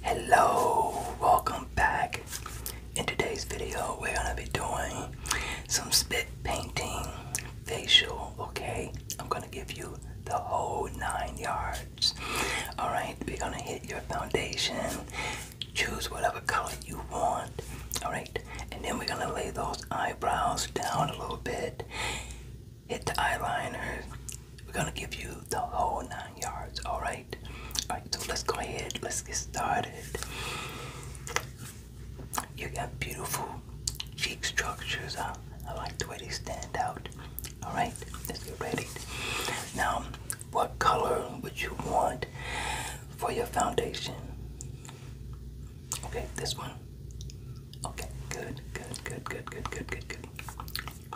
Hello, welcome back. In today's video, we're gonna be doing some spit painting facial, okay? I'm gonna give you the whole nine yards. Alright, we're gonna hit your foundation, choose whatever color you want, alright? And then we're gonna lay those eyebrows down a little bit, hit the eyeliner, we're gonna give you the whole nine yards, alright? Alright, so let's go ahead, let's get started. You got beautiful cheek structures. I, I like the way they stand out. Alright, let's get ready. Now, what color would you want for your foundation? Okay, this one. Okay, good, good, good, good, good, good, good, good.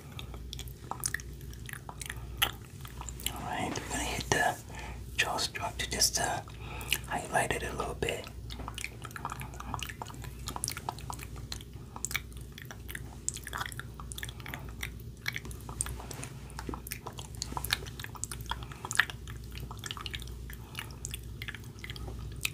Alright, we're gonna hit the jaw to just uh, highlight it a little bit.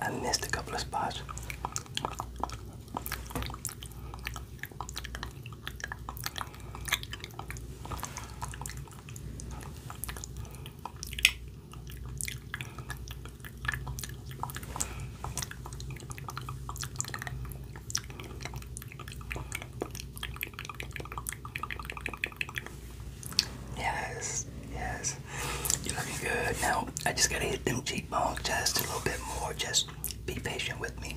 I missed a couple of spots. Yes, yes. You're looking good. Now, I just gotta hit them cheekbones just a little bit more. Just be patient with me.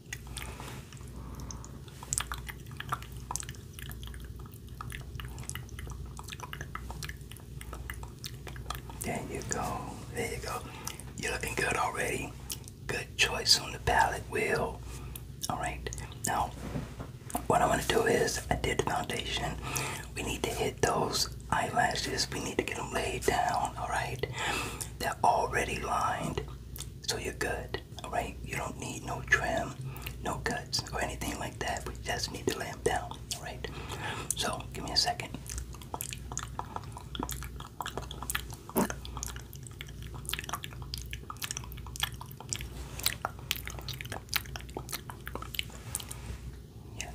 There you go. There you go. You're looking good already. Good choice on the palette wheel. Alright. Now, what I want to do is, I did the foundation. We need to hit those eyelashes. We need to get them laid down. Alright. They're already lined. So you're good. Alright? You don't need no trim, no cuts, or anything like that. We just need to lay them down. Alright? So, give me a second. Yeah.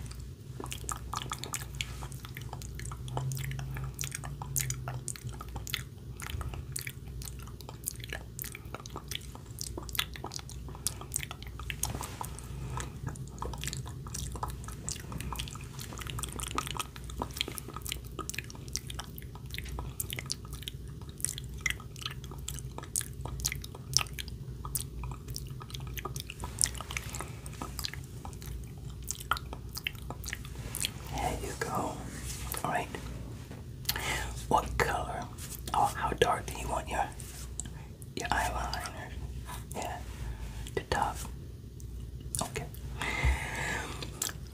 There you go. All right. What color or oh, how dark do you want your your eyeliner? Yeah, the top. Okay.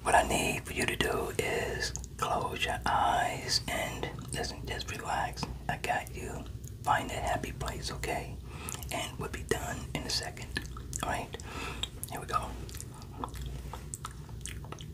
What I need for you to do is close your eyes and listen, just relax. I got you. Find that happy place, okay? And we'll be done in a second. Alright? Here we go.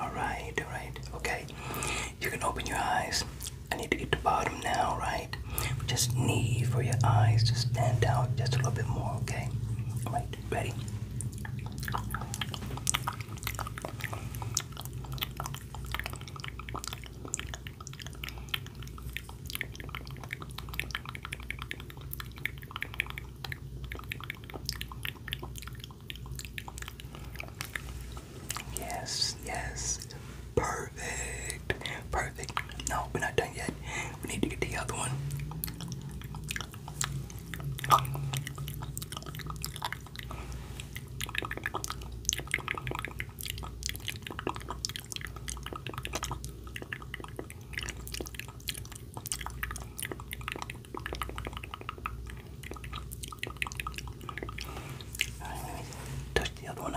All right, all right, okay. You can open your eyes. I need to get the bottom now, right? We just need for your eyes to stand out just a little bit more, okay? All right, ready? Yes, yes perfect. Perfect. No, we're not done yet. We need to get the other one. touch the other one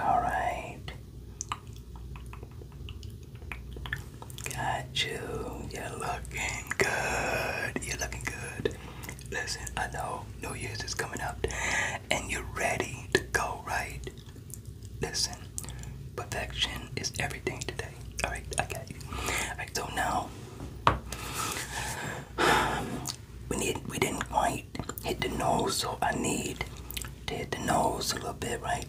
all right. Got you. You're looking good. You're looking good. Listen, I know New Year's is coming up and you're ready to go, right? Listen, perfection is everything today. Alright, I got you. Alright, so now we need we didn't quite hit the nose, so I need to hit the nose a little bit, right?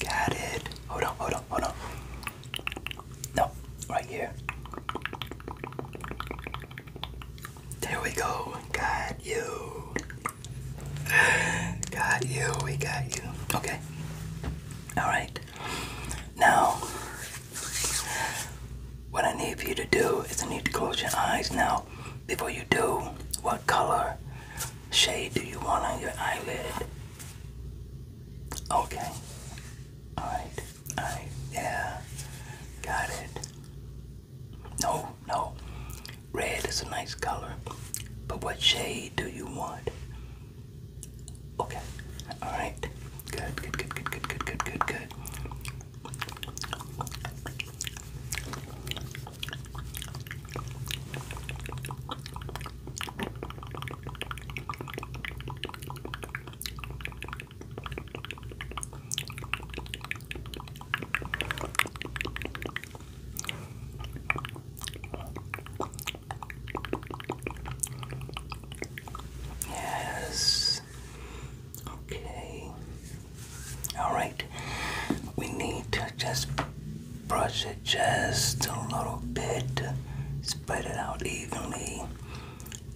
Got it. Hold on, hold on, hold on. No, right here. There we go. Got you. Got you. We got you. Okay. Alright. Now, what I need for you to do is I need to close your eyes. Now, before you do, what color shade do you want on your eyelid? Okay. Alright. Alright. Yeah. Got it. No, no. Red is a nice color. But what shade do you want? Okay. Alright. Good, good, good, good, good, good, good, good, Yes. Okay. All right. We need to just brush it just a little bit, spread it out evenly,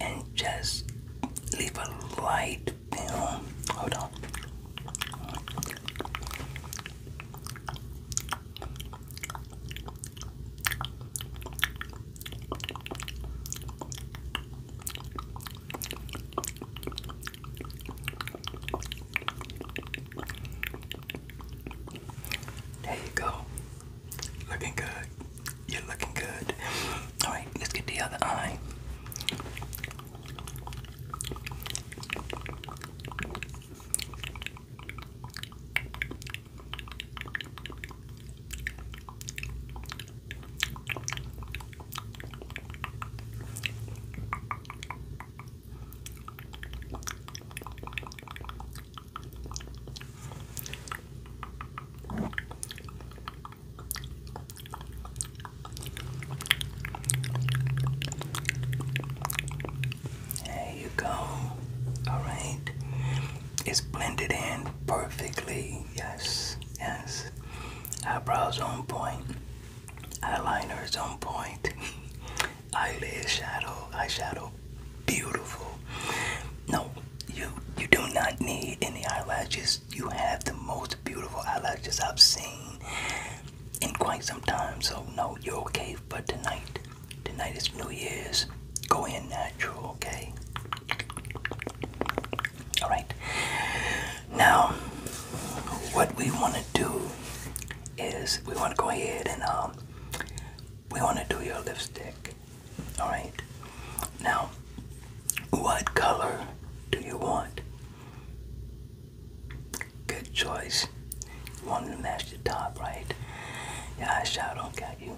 and just leave a light film. Hold on. There you go. Looking good. You're looking good. Alright, let's get the other eye. There you go. Alright. It's blended in perfectly. Yes, yes. Eyebrows on point. Eyeliner's on point. eyelid shadow, eyeshadow, beautiful. No, you you do not need any eyelashes. You have the most beautiful eyelashes I've seen in quite some time. So no, you're okay for tonight. Tonight is New Year's. Go in natural, okay? All right. Now, what we want to do is we want to go ahead and um, we want to do your lipstick. Alright? Now, what color do you want? Good choice. You want to match the top, right? Your eyeshadow got you.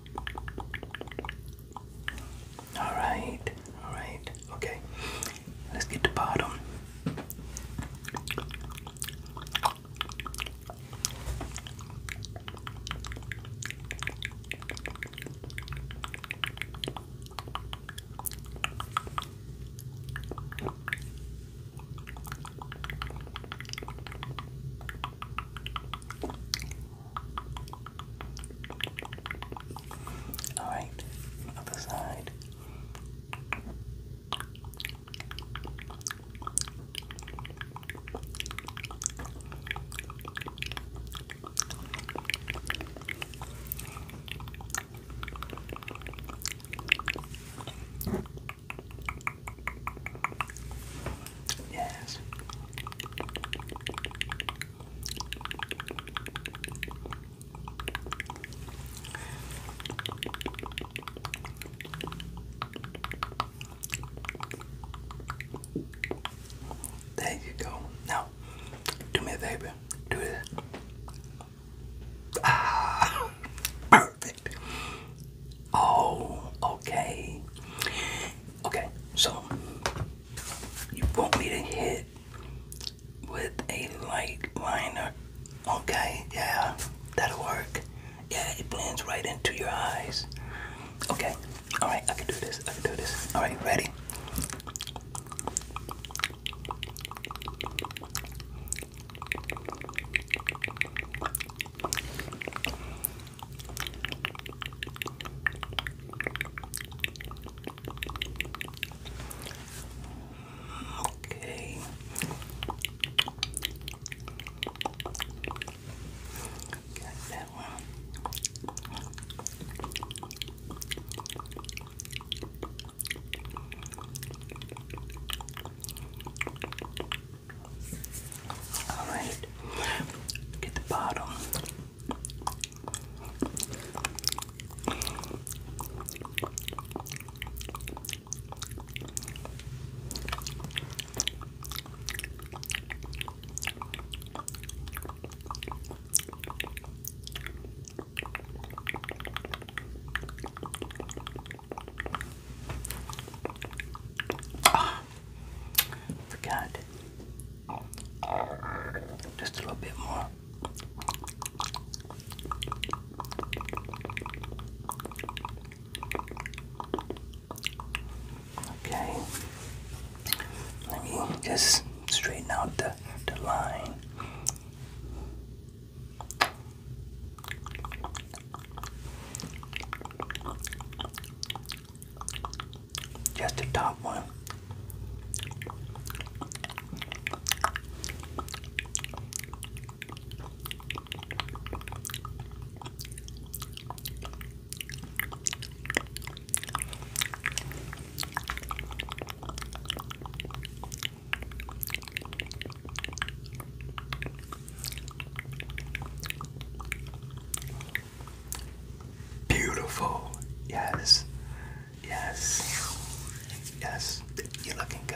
Alright, alright, okay. Let's get the bottom. All right, other side. Yes. There you go. Now, do me a favor. Do this. Ah, perfect. Oh, okay. Okay, so you want me to hit with a light liner. Okay, yeah, that'll work. Yeah, it blends right into your eyes. Okay, alright, I can do this, I can do this. Alright, ready? Okay. Got that one. All right. Get the bottom. Ah, forgot just a little bit more. Okay. Let me just straighten out the, the line. Just the top one. Beautiful. Yes. Yes. Yes. You're looking good.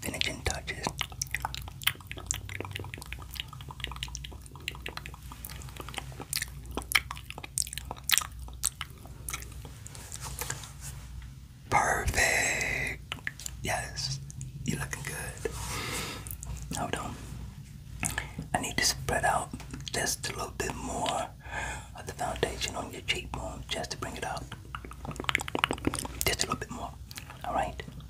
Finishing touches. Perfect. Yes, you're looking good. Hold on. I need to spread out just a little bit more of the foundation on your cheekbone just to bring it out. Just a little bit more. Alright.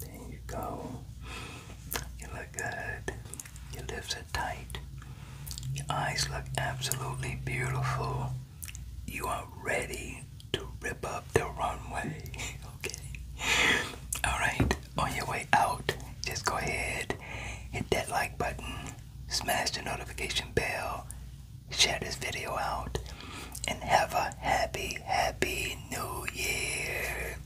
There you go. You look good. Your lips are tight. Your eyes look absolutely beautiful. You are ready to rip up the runway. Okay. Alright, on your way out, just go ahead, hit that like button smash the notification bell, share this video out, and have a happy, happy new year.